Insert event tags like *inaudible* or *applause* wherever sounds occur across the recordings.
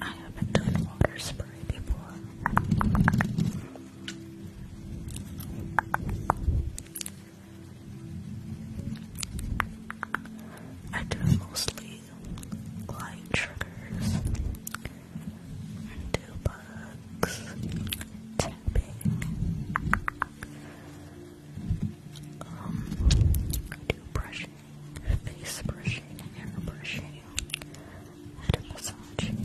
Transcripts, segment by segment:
I haven't done water spray before. I do mostly light triggers, do bugs, tapping, um, do brushing face brushing, hair brushing, head massage. Good.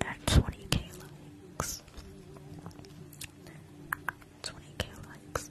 That's 20k likes. 20k likes.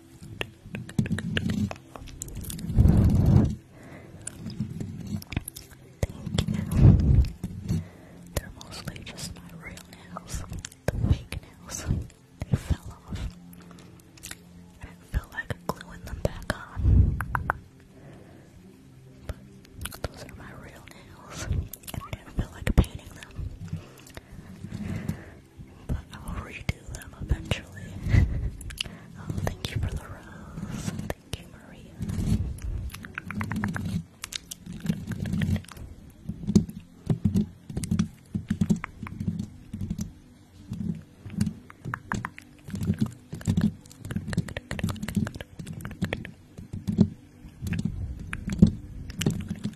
They're mostly just my real nails. The fake nails. They fell off. I didn't like gluing them back on. But those are my real nails. And I didn't feel like painting them but I'll redo them eventually. *laughs* Oh, thank you for the rose. Thank you, Maria.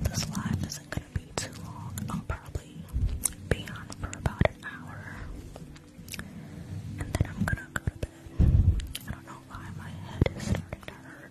This live isn't gonna be too long. I'll probably be on for about an hour. And then I'm gonna go to bed. I don't know know why my head is starting to hurt.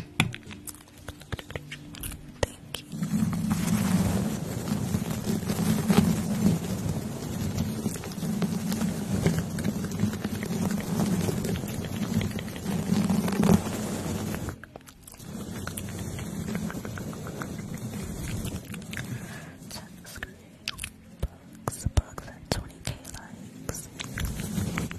Thank you. Bugs, bugs at 20k likes.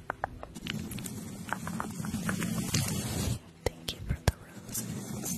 Thank you for the roses. Thank you, Thank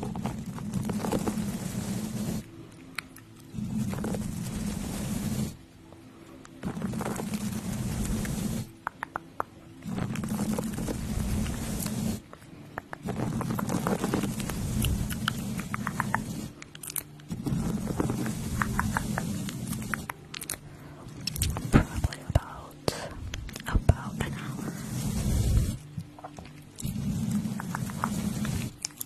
Probably about about an hour.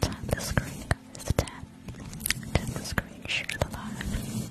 Tap the screen, guys. Tap. Tap the screen, share the live.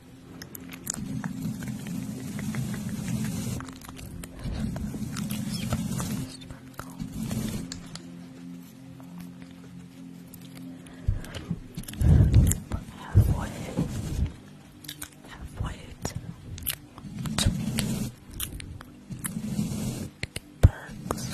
Halfway, halfway to perks.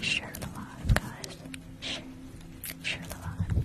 Share the live, guys. Share, share the live.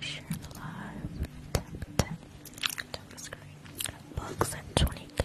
Share the live. Tap, screen. Books at 20k.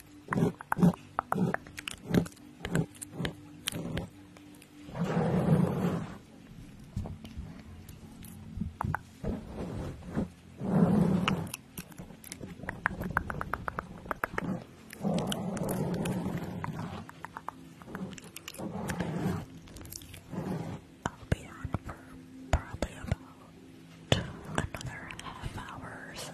I'll be on for probably about another half hour or so.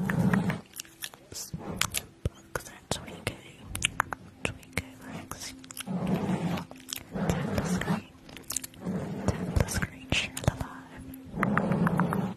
Box, that's Twinko. Twinko Rex. the screen. the screen, share the live.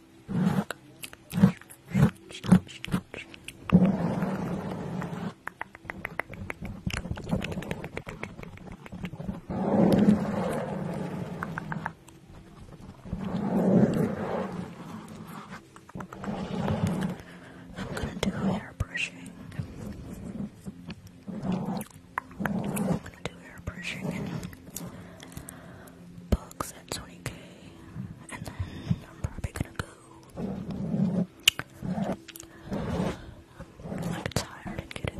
I'm gonna do hair I'm gonna do hair brushing 20k, and then I'm probably gonna go like tired and getting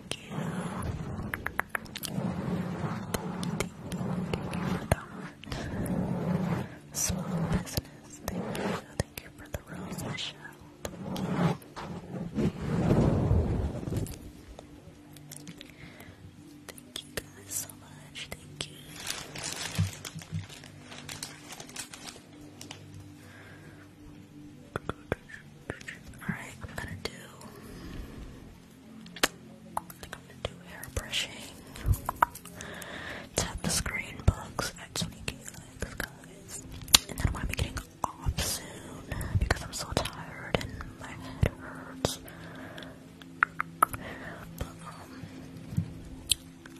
Thank you. Thank you, thank you for business. Thank you. for the rose, Michelle. Thank you guys so much. Thank you. Alright, I'm gonna do. I think I'm gonna do hair brushing. Tap the screen bugs at 20k likes, guys. And then I'm gonna be getting off soon because I'm so tired and my head hurts. But, um,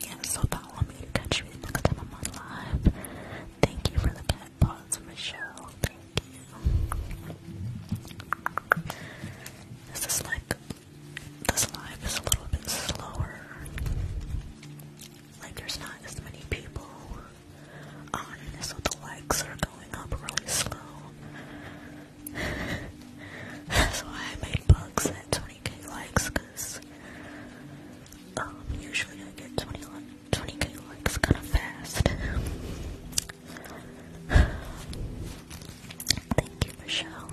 yeah, so follow me to catch me the next time I'm on live. Thank you for the pet paws, Michelle. Thank you. This is this live is a little bit slower. Like there's not as many people on, so the likes are going up really slow. That's *laughs* why I made bugs at 20k likes, cause um, usually I get 20 20k likes kinda fast. *sighs* Thank you, Michelle.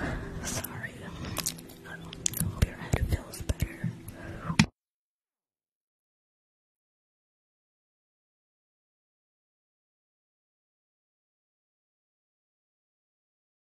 *sighs* Sorry. I hope your head feels better.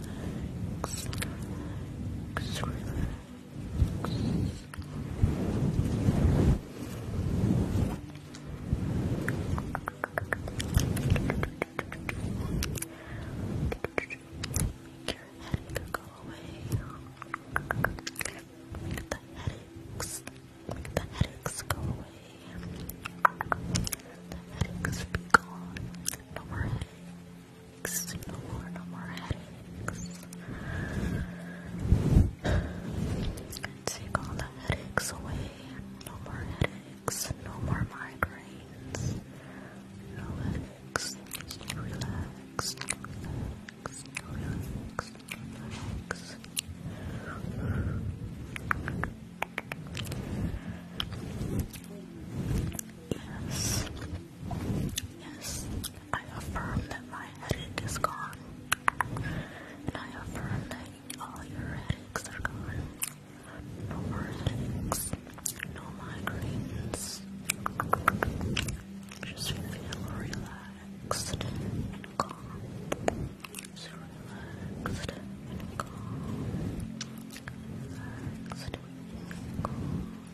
relax, relax, Make your headache go away. Make the headaches, make the headaches go away. The headaches be gone. No no more, no more headaches. Take all the headaches away. No more headaches. No more migraines. No headaches. Relax. Yes, Yes, I affirm that my headache is gone. And I affirm that all your headaches are gone. No more headaches, no migraines. Just feel relaxed and calm. So relaxed and calm. Relaxed and calm.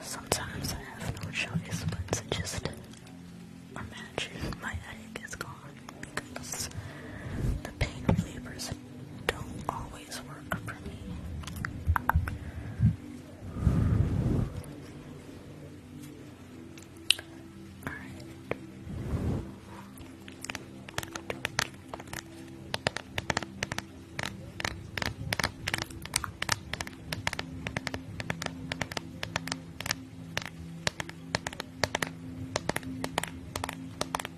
Sometimes I have no choice but to just imagine my egg is because the pain relievers don't always work for me. Alright.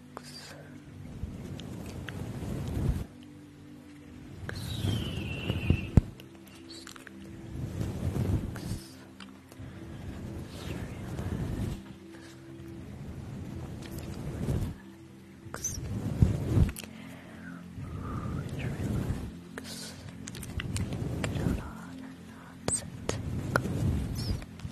Relax. Relax. Relax. Relax. Get out all the nonsense and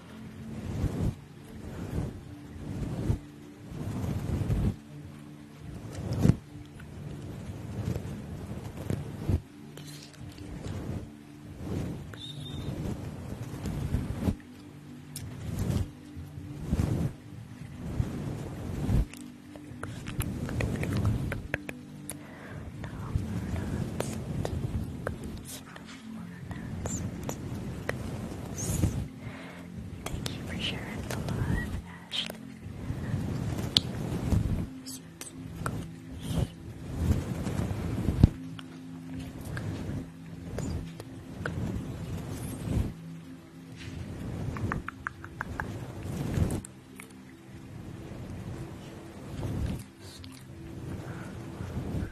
Now we're not Thank you for sharing the love, Ashley.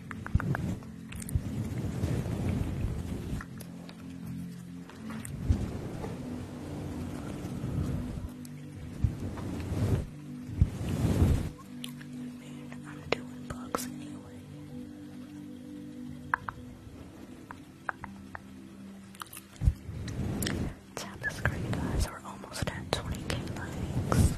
And i Tap the screen, guys. We're almost at 20k likes.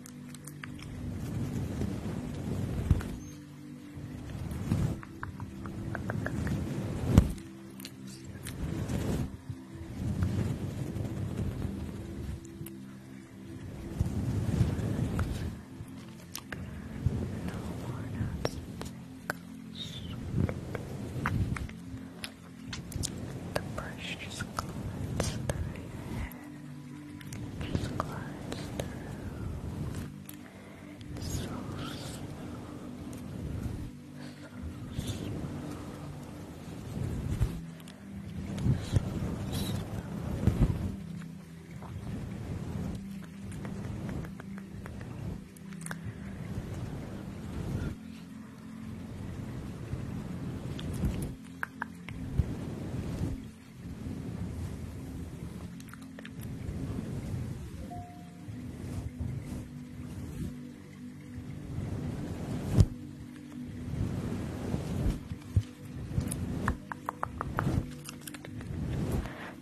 The brush just glides through your hair. Just glides through. It's so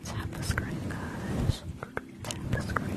Tap the screen, guys. Tap the screen.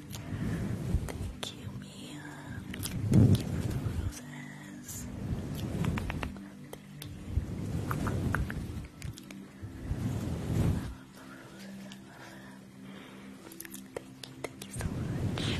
Thank you, Mia. Thank you for the roses. Thank you. I love the roses. Thank you. Thank you so much.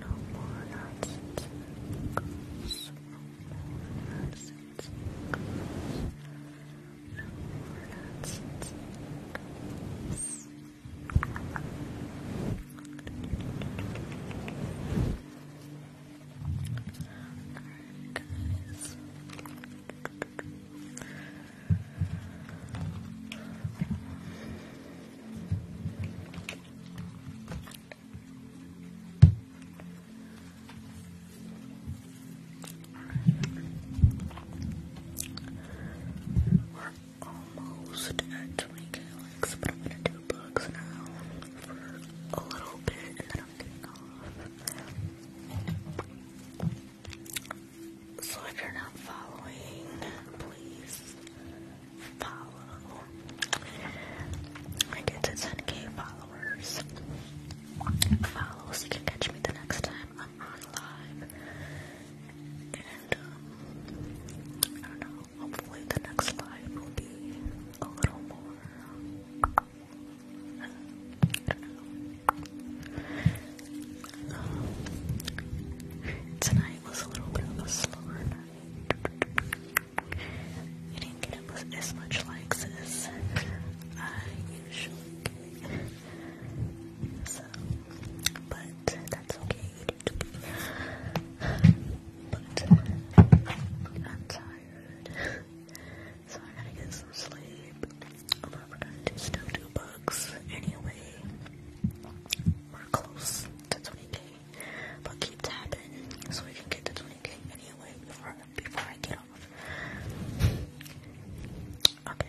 No more nonsense No more nonsense No more nonsense goes. We're almost at 20k but I'm gonna do bugs now for a little bit and then I'm getting off. So if you're not following, please follow. I get to 10k followers. Follow you can catch me the next time I'm on live. And, um, I don't know, hopefully the next live will be a little more. tonight was a little bit of a slower night. I didn't get as much likes as I usually do. but that's okay, But I'm tired, so I gotta get some sleep. I'm probably gonna do stuff to anyway. We're close to 20k. But keep tapping so we can get to 20k anyway before, before I get off. Okay.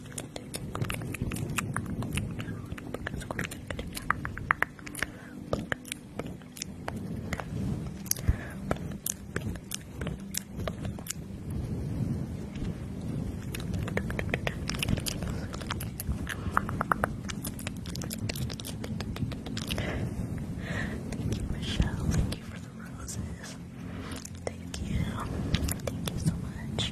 Thank you, Michelle. Thank you for the roses. Thank you. Thank you so much.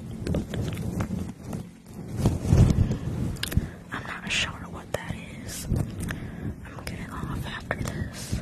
I'm not sure what that is. I'm getting off after this.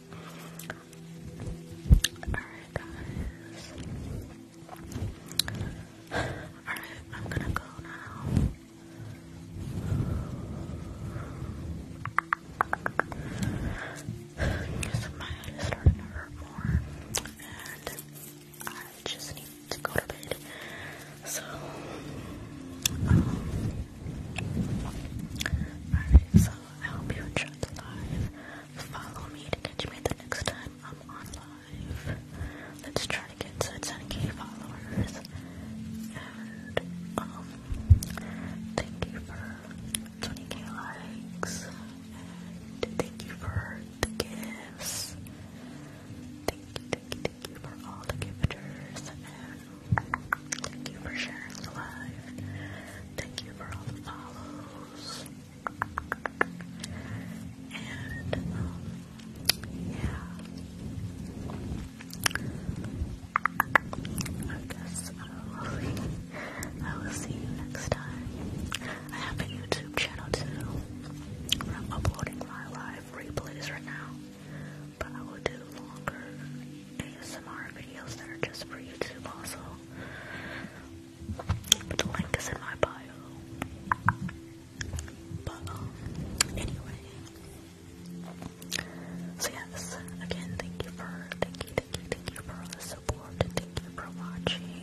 Alright, guys. Alright, I'm gonna go now. Because my head is starting to hurt more. And I just need to go to bed. So, um, Alright, so I hope you enjoyed the live. Follow me to catch me the next time I'm on Let's try to get to 10k followers. And, um, thank you for 20k likes. And thank you for the gifts. Thank you, thank you, thank you for all the gifters. Thank you for sharing the life. Thank you for all the follows. And, um, yeah. I guess uh, I will see. you next time. I have a YouTube channel too, I'm uploading my live replays right now, but I will do longer ASMR videos that just for YouTube also. the link is in my bio. But um, anyway. So yes, again, thank you for, thank you, thank you, thank you for the support. Thank you for watching.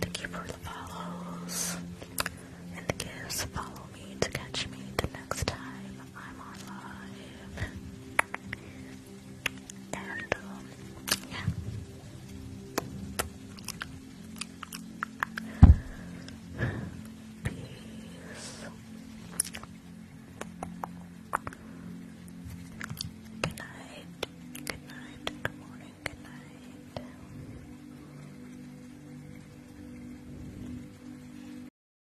Thank you for the follows and the Follow me to catch me tonight next time I'm on yeah. Peace. Good night. Good night. Good morning. Good night.